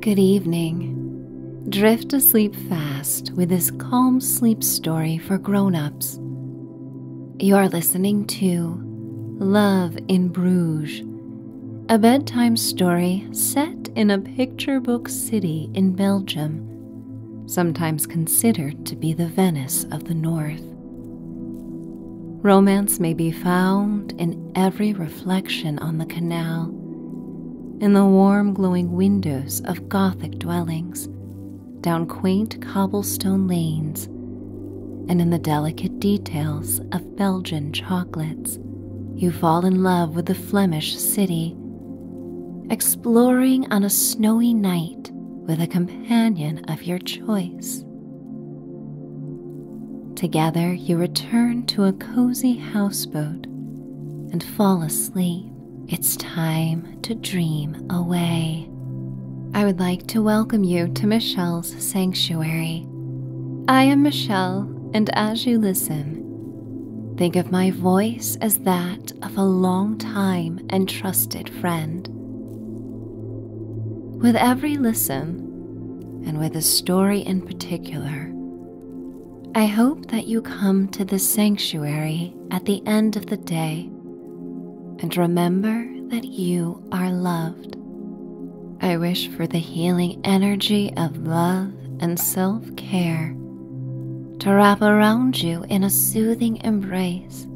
Good evening. Drift to sleep fast with this calm sleep story for grown ups. You are listening to Love in Bruges, a bedtime story set in a picture book city in Belgium, sometimes considered to be the Venice of the North. Romance may be found in every reflection on the canal in the warm, glowing windows of Gothic dwellings, down quaint cobblestone lanes, and in the delicate details of Belgian chocolates. You fall in love with the Flemish city, exploring on a snowy night with a companion of your choice. Together, you return to a cozy houseboat and fall asleep. It's time to dream away. I would like to welcome you to Michelle's Sanctuary. I am Michelle, and as you listen, think of my voice as that of a long time and trusted friend. With every listen, and with a story in particular. I hope that you come to the sanctuary at the end of the day and remember that you are loved. I wish for the healing energy of love and self care to wrap around you in a soothing embrace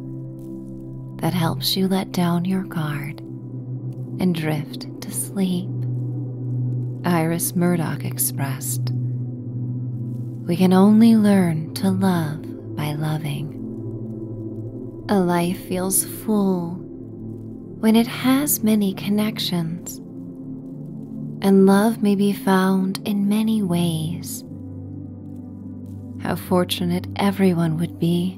that helps you let down your guard and drift to sleep. Iris Murdoch expressed We can only learn to love by loving. A life feels full when it has many connections, and love may be found in many ways. How fortunate everyone would be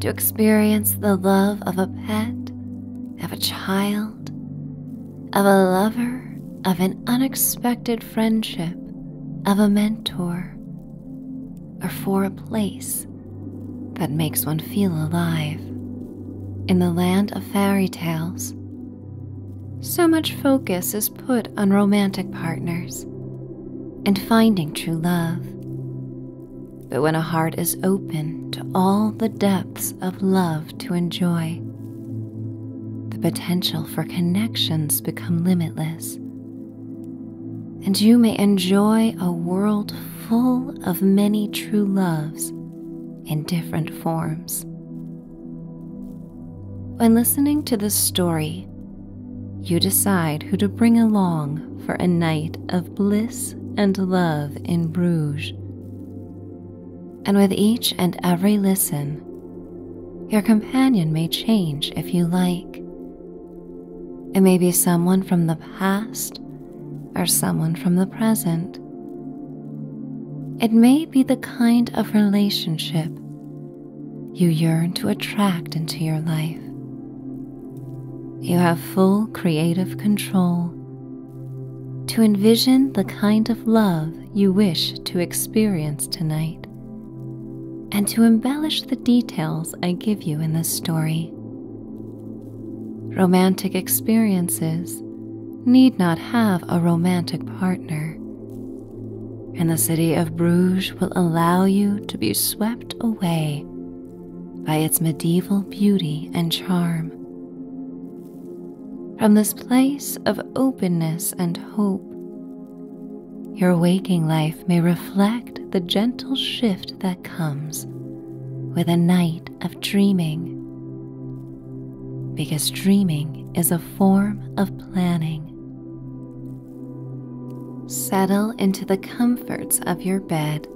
to experience the love of a pet, of a child, of a lover, of an unexpected friendship, of a mentor, or for a place that makes one feel alive. In the land of fairy tales, so much focus is put on romantic partners and finding true love. But when a heart is open to all the depths of love to enjoy, the potential for connections become limitless. And you may enjoy a world full of many true loves in different forms. When listening to this story, you decide who to bring along for a night of bliss and love in Bruges. And with each and every listen, your companion may change if you like. It may be someone from the past or someone from the present. It may be the kind of relationship you yearn to attract into your life. You have full creative control to envision the kind of love you wish to experience tonight and to embellish the details I give you in this story. Romantic experiences need not have a romantic partner, and the city of Bruges will allow you to be swept away by its medieval beauty and charm. From this place of openness and hope, your waking life may reflect the gentle shift that comes with a night of dreaming. Because dreaming is a form of planning. Settle into the comforts of your bed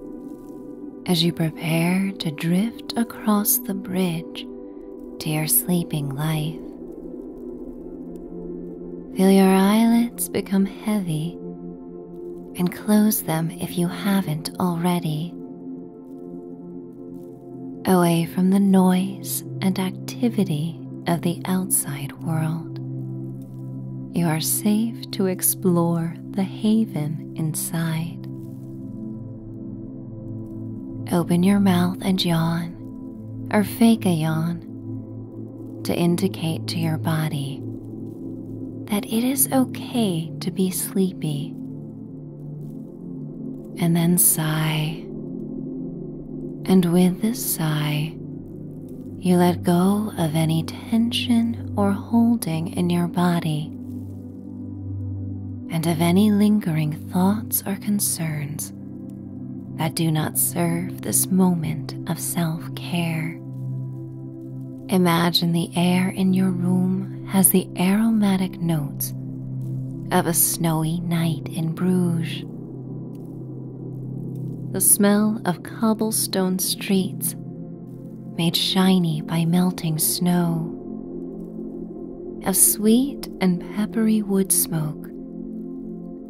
as you prepare to drift across the bridge to your sleeping life. Feel your eyelids become heavy and close them if you haven't already. Away from the noise and activity of the outside world you are safe to explore the haven inside. Open your mouth and yawn, or fake a yawn, to indicate to your body that it is okay to be sleepy. And then sigh. And with this sigh, you let go of any tension or holding in your body, and of any lingering thoughts or concerns that do not serve this moment of self care. Imagine the air in your room has the aromatic notes of a snowy night in Bruges. The smell of of cobblestone streets made shiny by melting snow, of sweet and peppery wood smoke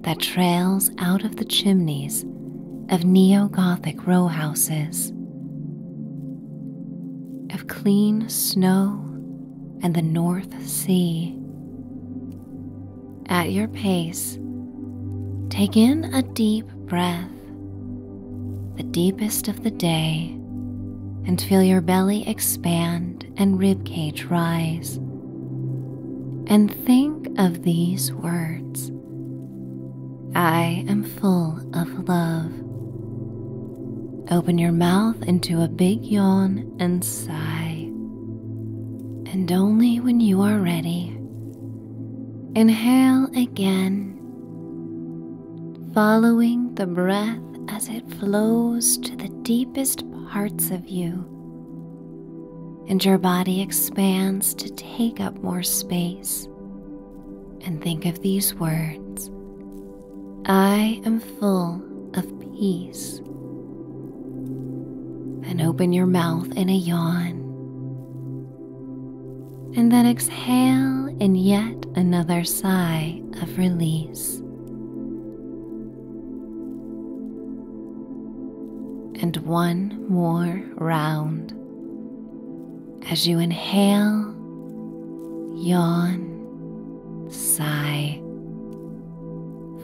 that trails out of the chimneys of neo Gothic row houses, of clean snow and the North Sea. At your pace, take in a deep breath the deepest of the day, and feel your belly expand and ribcage rise. And think of these words I am full of love. Open your mouth into a big yawn and sigh. And only when you are ready, inhale again following the breath as it flows to the deepest parts of you, and your body expands to take up more space. And think of these words I am full of peace. And open your mouth in a yawn. And then exhale in yet another sigh of release. And one more round as you inhale, yawn, sigh,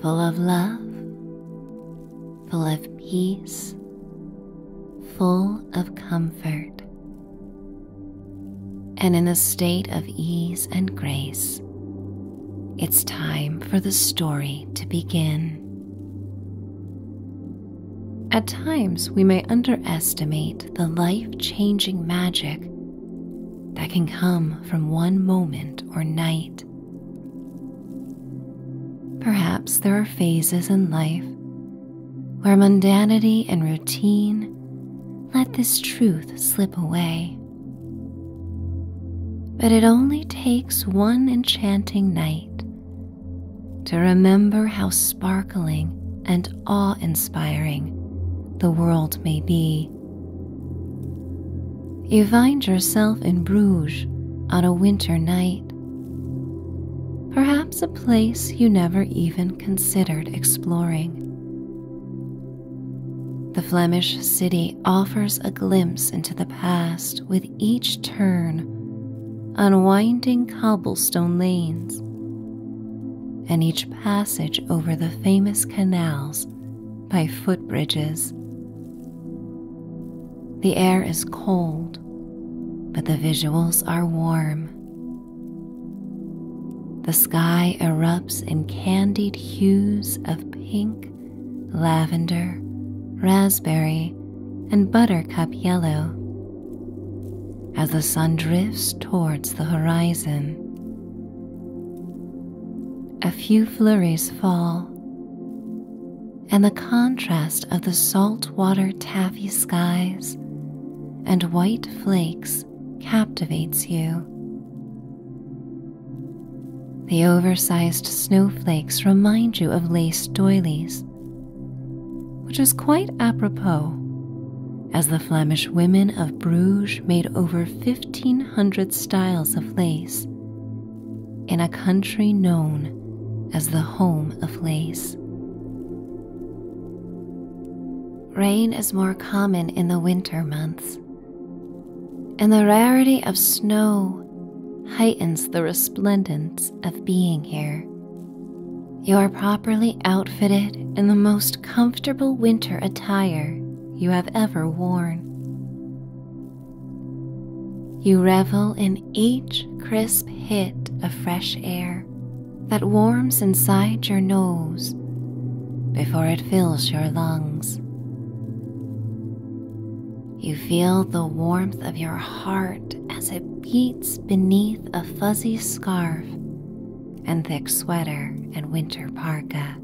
full of love, full of peace full of comfort, and in a state of ease and grace. It's time for the story to begin. At times, we may underestimate the life changing magic that can come from one moment or night. Perhaps there are phases in life where mundanity and routine let this truth slip away. But it only takes one enchanting night to remember how sparkling and awe inspiring the world may be. You find yourself in Bruges on a winter night Perhaps a place you never even considered exploring. The Flemish city offers a glimpse into the past with each turn, unwinding cobblestone lanes, and each passage over the famous canals by footbridges. The air is cold, but the visuals are warm. The sky erupts in candied hues of pink, lavender, raspberry, and buttercup yellow. As the sun drifts towards the horizon, a few flurries fall, and the contrast of the saltwater taffy skies and white flakes captivates you. The oversized snowflakes remind you of lace doilies, which is quite apropos as the Flemish women of Bruges made over 1,500 styles of lace in a country known as the home of lace. Rain is more common in the winter months, and the rarity of snow heightens the resplendence of being here. You are properly outfitted in the most comfortable winter attire you have ever worn. You revel in each crisp hit of fresh air that warms inside your nose before it fills your lungs. You feel the warmth of your heart as it beats beneath a fuzzy scarf and thick sweater and winter parka.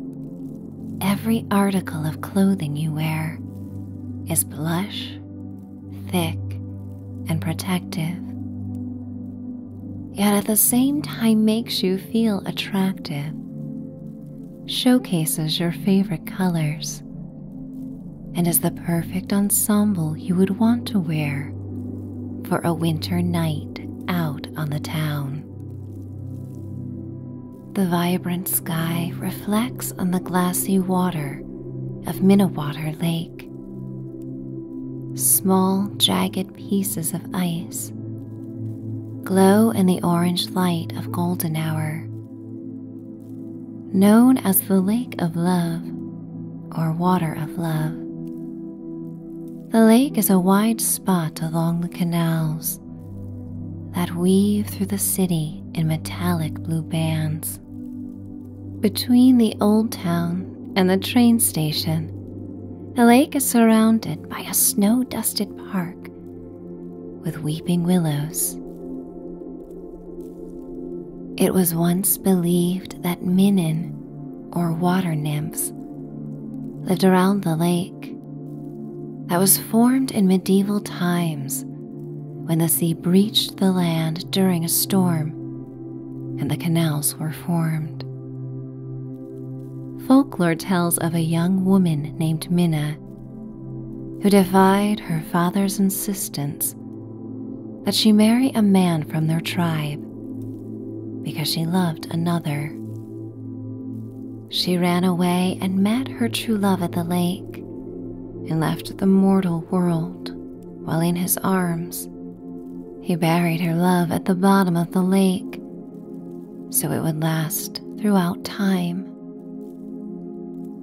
Every article of clothing you wear is plush thick, and protective, yet at the same time makes you feel attractive, showcases your favorite colors, and is the perfect ensemble you would want to wear for a winter night out on the town. The vibrant sky reflects on the glassy water of Minnewater Lake. Small, jagged pieces of ice glow in the orange light of golden hour. Known as the Lake of Love or Water of Love, the lake is a wide spot along the canals that weave through the city in metallic blue bands. Between the old town and the train station, the lake is surrounded by a snow dusted park with weeping willows. It was once believed that Minin, or water nymphs, lived around the lake that was formed in medieval times when the sea breached the land during a storm and the canals were formed. Folklore tells of a young woman named Minna who defied her father's insistence that she marry a man from their tribe because she loved another. She ran away and met her true love at the lake and left the mortal world while in his arms, he buried her love at the bottom of the lake so it would last throughout time.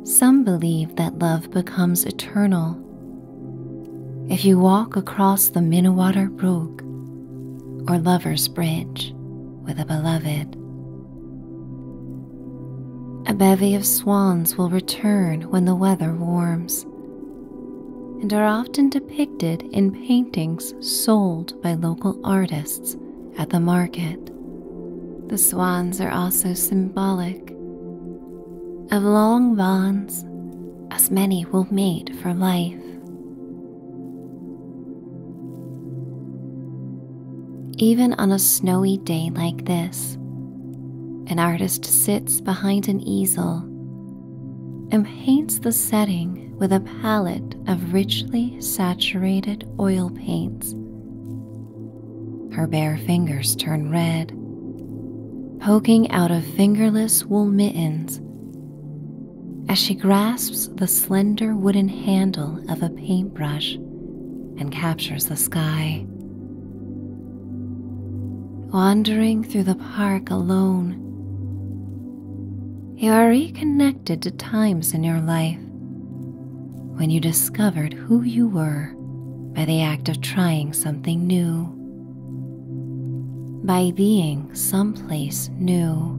Some believe that love becomes eternal. If you walk across the Minnewater Brook or Lover's Bridge with a beloved, a bevy of swans will return when the weather warms and are often depicted in paintings sold by local artists at the market. The swans are also symbolic of long bonds, as many will mate for life. Even on a snowy day like this, an artist sits behind an easel and paints the setting with a palette of richly saturated oil paints. Her bare fingers turn red, poking out of fingerless wool mittens as she grasps the slender wooden handle of a paintbrush and captures the sky wandering through the park alone. You are reconnected to times in your life when you discovered who you were by the act of trying something new, by being someplace new.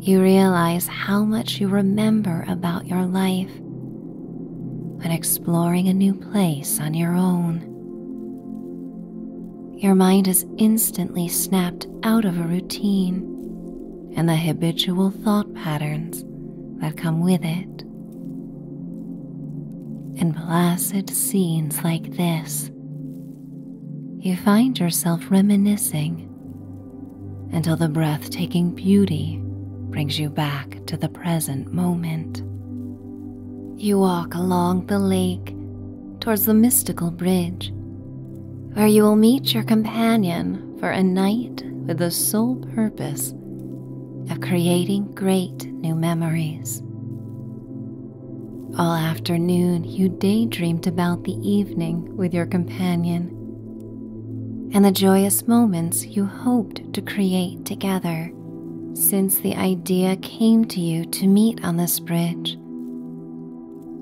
You realize how much you remember about your life when exploring a new place on your own. Your mind is instantly snapped out of a routine and the habitual thought patterns that come with it. In placid scenes like this, you find yourself reminiscing until the breathtaking beauty brings you back to the present moment. You walk along the lake towards the mystical bridge, where you will meet your companion for a night with the sole purpose of creating great new memories. All afternoon, you daydreamed about the evening with your companion and the joyous moments you hoped to create together since the idea came to you to meet on this bridge.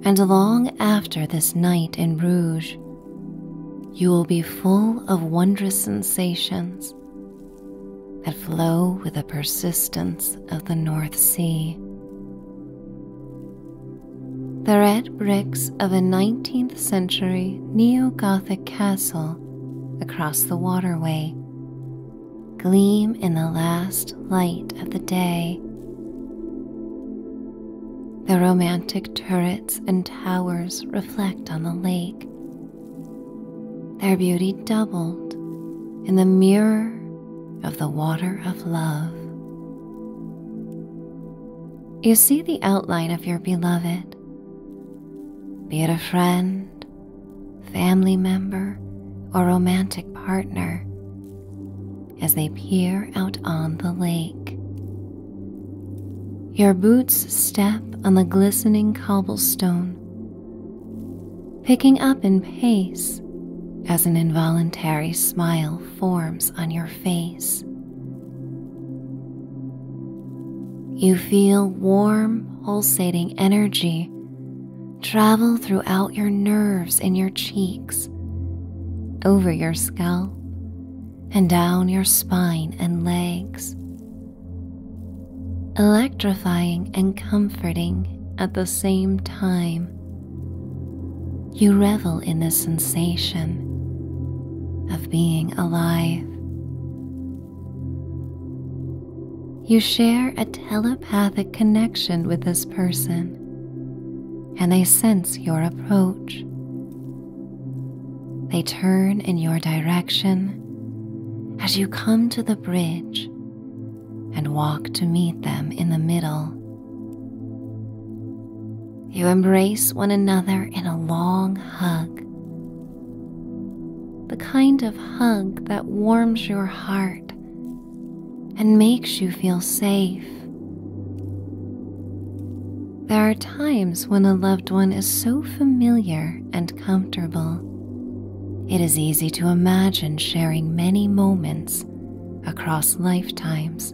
And long after this night in Rouge, you will be full of wondrous sensations that flow with the persistence of the North Sea. The red bricks of a 19th century neo Gothic castle across the waterway gleam in the last light of the day. The romantic turrets and towers reflect on the lake, their beauty doubled in the mirror of the water of love. You see the outline of your beloved be it a friend, family member, or romantic partner, as they peer out on the lake. Your boots step on the glistening cobblestone, picking up in pace as an involuntary smile forms on your face. You feel warm, pulsating energy travel throughout your nerves in your cheeks, over your scalp, and down your spine and legs. Electrifying and comforting at the same time. You revel in the sensation of being alive. You share a telepathic connection with this person, and they sense your approach. They turn in your direction as you come to the bridge and walk to meet them in the middle. You embrace one another in a long hug. The kind of hug that warms your heart and makes you feel safe. There are times when a loved one is so familiar and comfortable, it is easy to imagine sharing many moments across lifetimes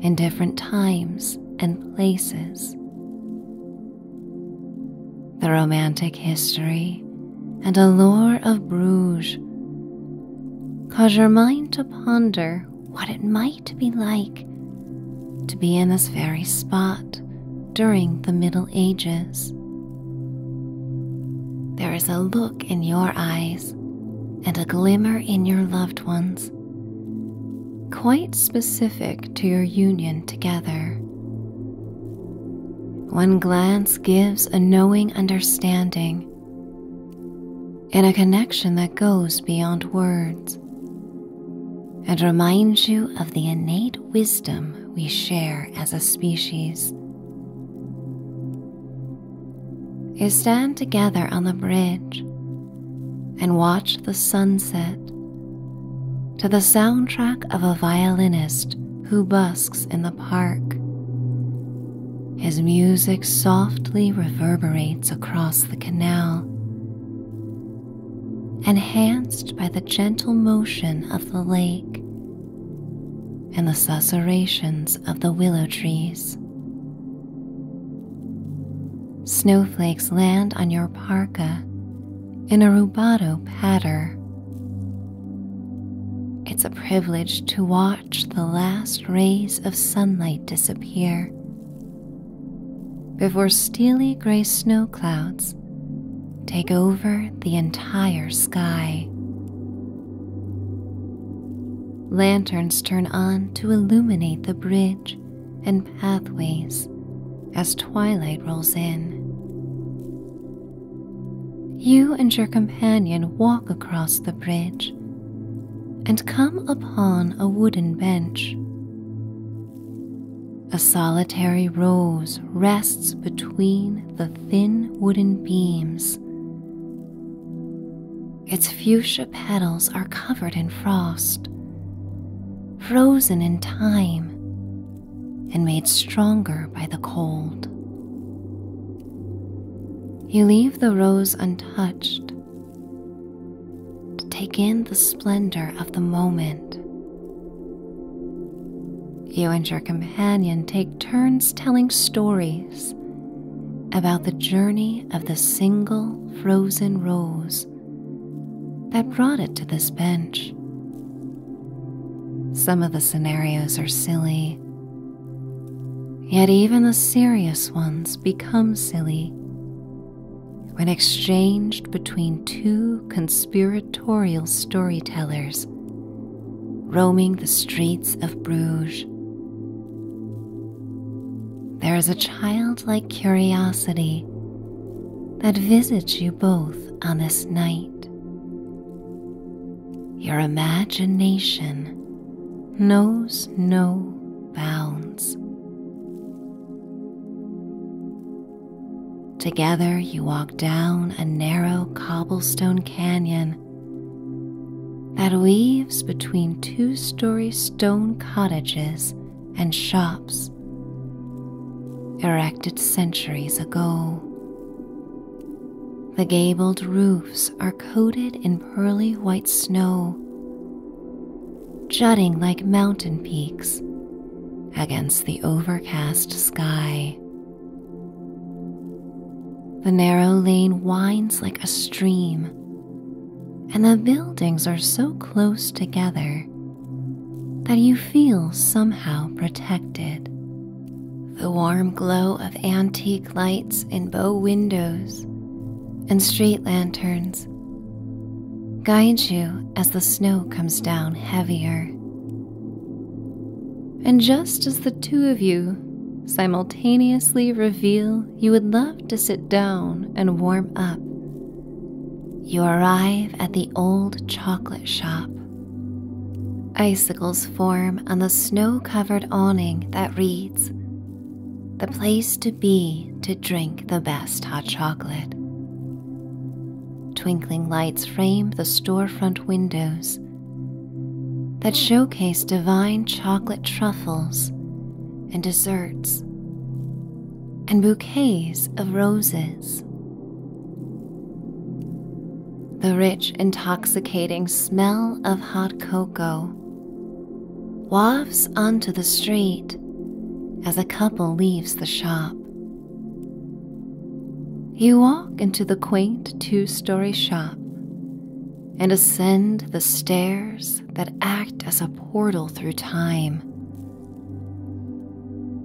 in different times and places. The romantic history and allure of Bruges cause your mind to ponder what it might be like to be in this very spot during the Middle Ages. There is a look in your eyes and a glimmer in your loved ones quite specific to your union together. One glance gives a knowing understanding and a connection that goes beyond words and reminds you of the innate wisdom we share as a species. You stand together on the bridge and watch the sunset to the soundtrack of a violinist who busks in the park. His music softly reverberates across the canal, enhanced by the gentle motion of the lake and the susurrations of the willow trees. Snowflakes land on your parka in a rubato patter. It's a privilege to watch the last rays of sunlight disappear before steely gray snow clouds take over the entire sky. Lanterns turn on to illuminate the bridge and pathways as twilight rolls in. You and your companion walk across the bridge and come upon a wooden bench. A solitary rose rests between the thin wooden beams. Its fuchsia petals are covered in frost, frozen in time and made stronger by the cold. You leave the rose untouched to take in the splendor of the moment. You and your companion take turns telling stories about the journey of the single frozen rose that brought it to this bench. Some of the scenarios are silly, yet, even the serious ones become silly when exchanged between two conspiratorial storytellers roaming the streets of Bruges. There is a child like curiosity that visits you both on this night. Your imagination knows no bounds. Together, you walk down a narrow cobblestone canyon that weaves between two story stone cottages and shops erected centuries ago. The gabled roofs are coated in pearly white snow, jutting like mountain peaks against the overcast sky. The narrow lane winds like a stream and the buildings are so close together that you feel somehow protected. The warm glow of antique lights in bow windows and street lanterns guides you as the snow comes down heavier. And just as the two of you simultaneously reveal you would love to sit down and warm up you arrive at the old chocolate shop. Icicles form on the snow covered awning that reads, The place to be to drink the best hot chocolate. Twinkling lights frame the storefront windows that showcase divine chocolate truffles and desserts and bouquets of roses. The rich, intoxicating smell of hot cocoa wafts onto the street as a couple leaves the shop. You walk into the quaint two story shop and ascend the stairs that act as a portal through time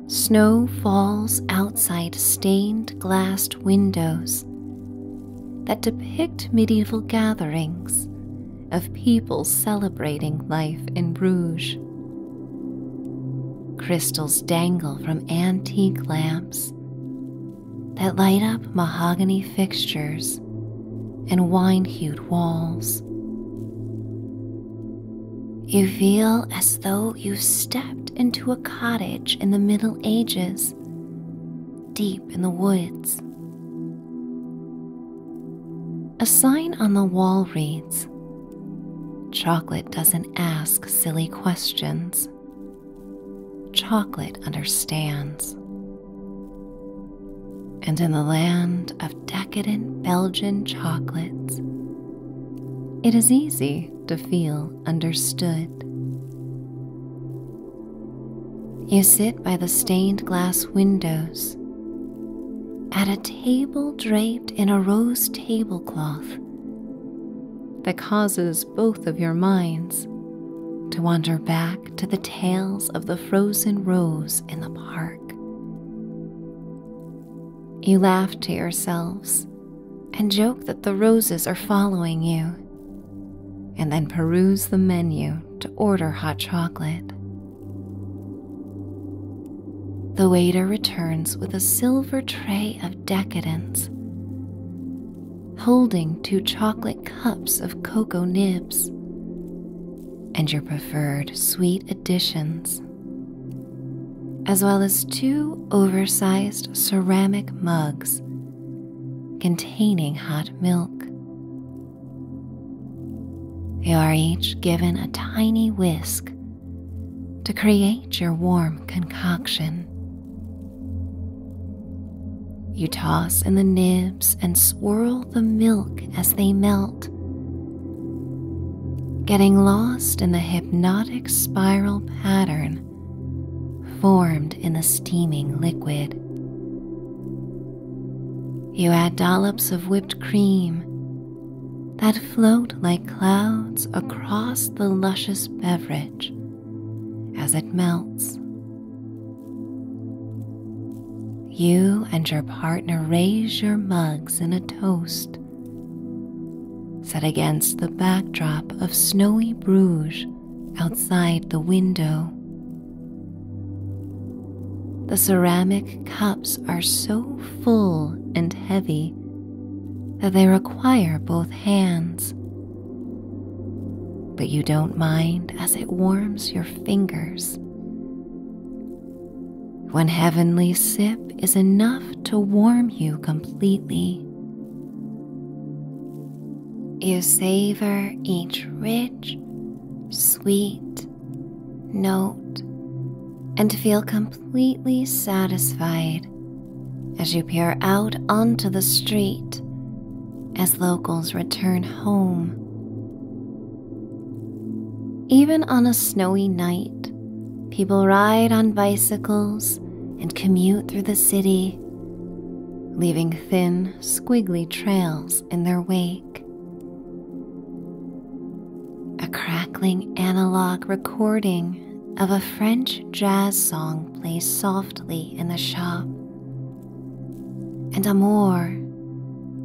Snow falls outside stained glassed windows that depict medieval gatherings of people celebrating life in Bruges. Crystals dangle from antique lamps that light up mahogany fixtures and wine hued walls. You feel as though you stepped into a cottage in the Middle Ages, deep in the woods. A sign on the wall reads Chocolate doesn't ask silly questions. Chocolate understands and in the land of decadent Belgian chocolates, it is easy to feel understood. You sit by the stained glass windows at a table draped in a rose tablecloth that causes both of your minds to wander back to the tales of the frozen rose in the park. You laugh to yourselves and joke that the roses are following you, and then peruse the menu to order hot chocolate. The waiter returns with a silver tray of decadence, holding two chocolate cups of cocoa nibs, and your preferred sweet additions, as well as two oversized ceramic mugs containing hot milk. You are each given a tiny whisk to create your warm concoction. You toss in the nibs and swirl the milk as they melt. Getting lost in the hypnotic spiral pattern formed in the steaming liquid. You add dollops of whipped cream that float like clouds across the luscious beverage as it melts you and your partner raise your mugs in a toast, set against the backdrop of snowy Bruges outside the window. The ceramic cups are so full and heavy that they require both hands. But you don't mind as it warms your fingers one heavenly sip is enough to warm you completely. You savor each rich, sweet note and feel completely satisfied as you peer out onto the street as locals return home even on a snowy night, people ride on bicycles and commute through the city, leaving thin, squiggly trails in their wake. A crackling analog recording of a French jazz song plays softly in the shop, and a more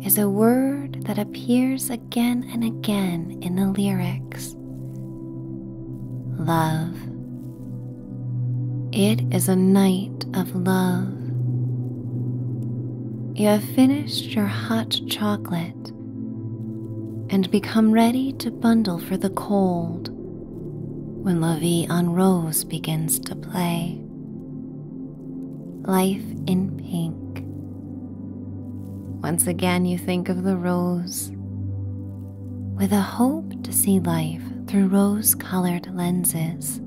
is a word that appears again and again in the lyrics love. It is a night of love. You have finished your hot chocolate and become ready to bundle for the cold when La Vie en Rose begins to play. Life in Pink. Once again, you think of the rose with a hope to see life through rose colored lenses.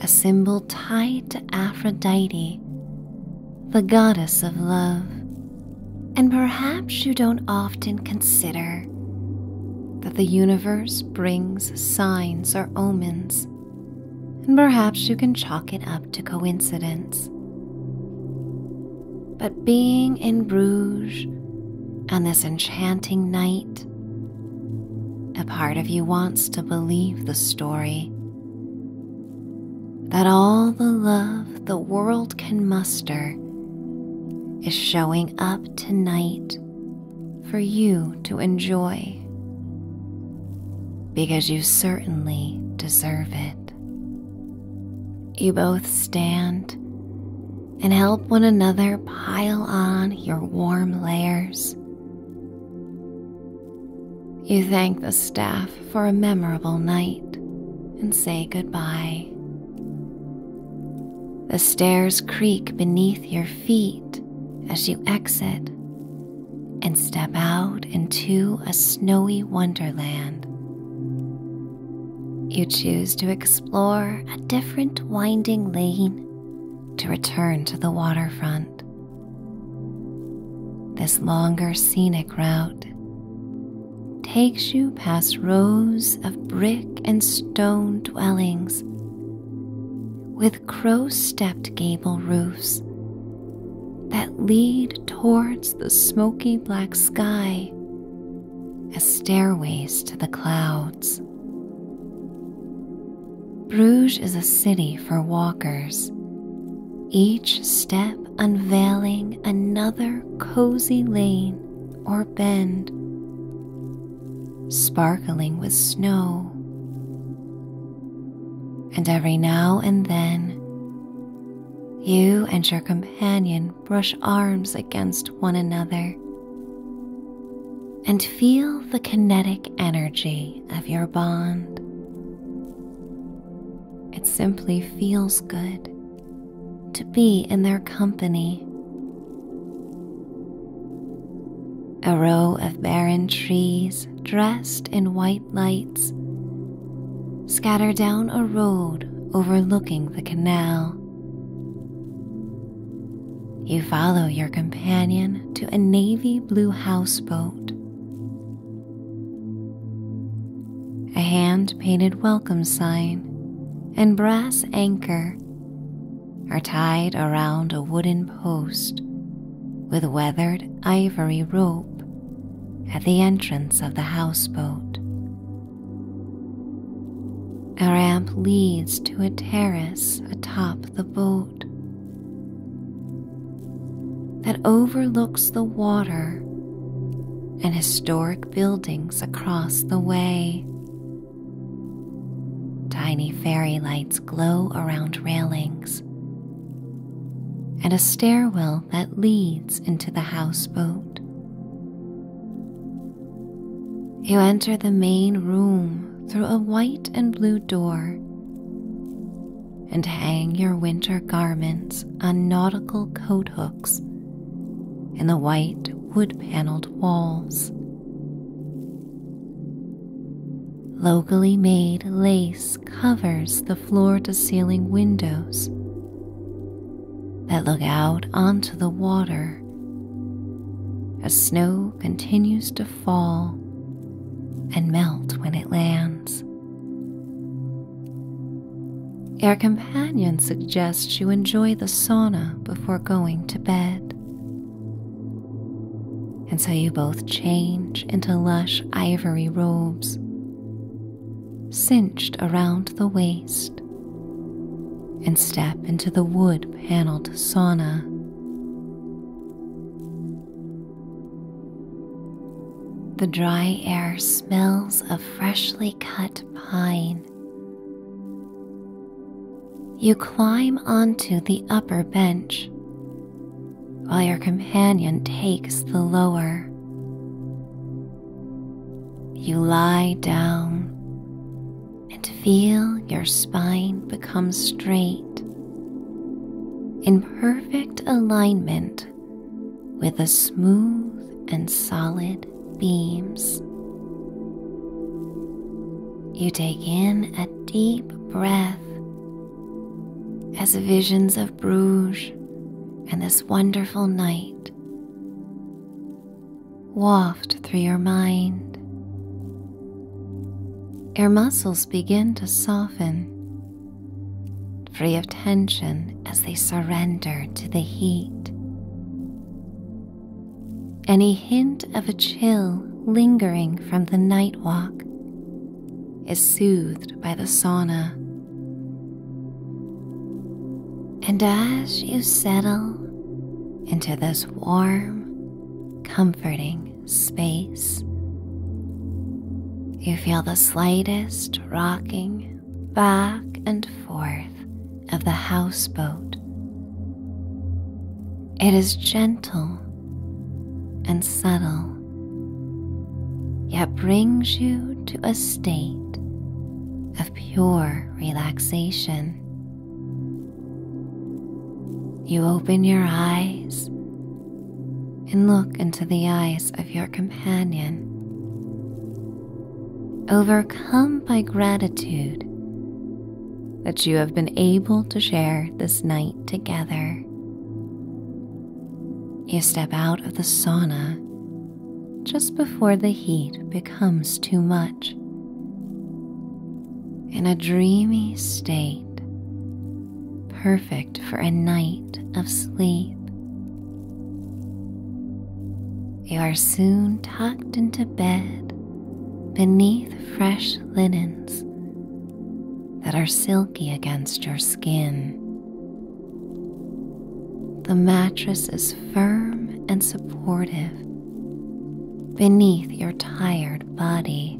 A symbol tied to Aphrodite, the goddess of love. And perhaps you don't often consider that the universe brings signs or omens and perhaps you can chalk it up to coincidence. But being in Bruges on this enchanting night, a part of you wants to believe the story that all the love the world can muster is showing up tonight for you to enjoy because you certainly deserve it. You both stand and help one another pile on your warm layers. You thank the staff for a memorable night and say goodbye. The stairs creak beneath your feet as you exit and step out into a snowy wonderland. You choose to explore a different winding lane to return to the waterfront. This longer scenic route takes you past rows of brick and stone dwellings with crow stepped gable roofs that lead towards the smoky black sky as stairways to the clouds. Bruges is a city for walkers, each step unveiling another cozy lane or bend, sparkling with snow and every now and then you and your companion brush arms against one another and feel the kinetic energy of your bond. It simply feels good to be in their company. A row of barren trees dressed in white lights scatter down a road overlooking the canal. You follow your companion to a navy blue houseboat. A hand painted welcome sign and brass anchor are tied around a wooden post with weathered ivory rope at the entrance of the houseboat. A ramp leads to a terrace atop the boat that overlooks the water and historic buildings across the way. Tiny fairy lights glow around railings and a stairwell that leads into the houseboat. You enter the main room through a white and blue door and hang your winter garments on nautical coat hooks in the white wood paneled walls. Locally made lace covers the floor to ceiling windows that look out onto the water as snow continues to fall and melt when it lands. Your companion suggests you enjoy the sauna before going to bed. And so you both change into lush ivory robes, cinched around the waist, and step into the wood paneled sauna. The dry air smells of freshly cut pine. You climb onto the upper bench while your companion takes the lower. You lie down and feel your spine become straight in perfect alignment with the smooth and solid beams. You take in a deep breath as visions of Bruges and this wonderful night waft through your mind. Your muscles begin to soften, free of tension as they surrender to the heat. Any hint of a chill lingering from the night walk is soothed by the sauna. And as you settle into this warm, comforting space, you feel the slightest rocking back and forth of the houseboat. It is gentle and subtle, yet brings you to a state of pure relaxation. You open your eyes and look into the eyes of your companion. Overcome by gratitude that you have been able to share this night together. You step out of the sauna just before the heat becomes too much. In a dreamy state, perfect for a night of sleep. You are soon tucked into bed beneath fresh linens that are silky against your skin. The mattress is firm and supportive beneath your tired body.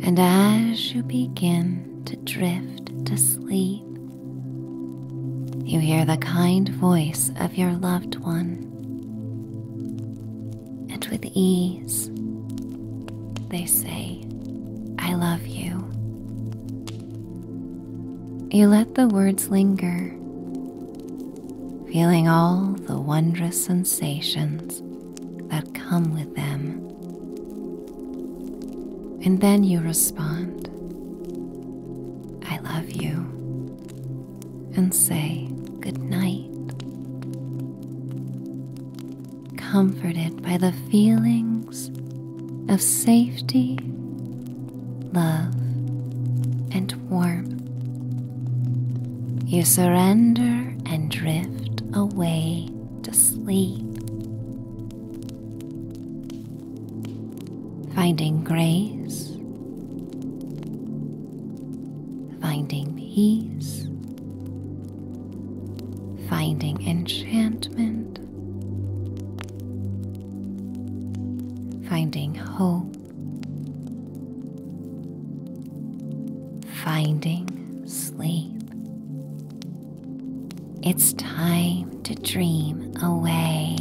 And as you begin to drift to sleep, you hear the kind voice of your loved one and with ease they say, I love you. You let the words linger, feeling all the wondrous sensations that come with them. And then you respond, I love you and say good night. Comforted by the feelings of safety, love, and warmth, you surrender and drift away to sleep. Finding grace finding peace, finding enchantment, finding hope, finding sleep. It's time to dream away.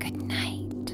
Good night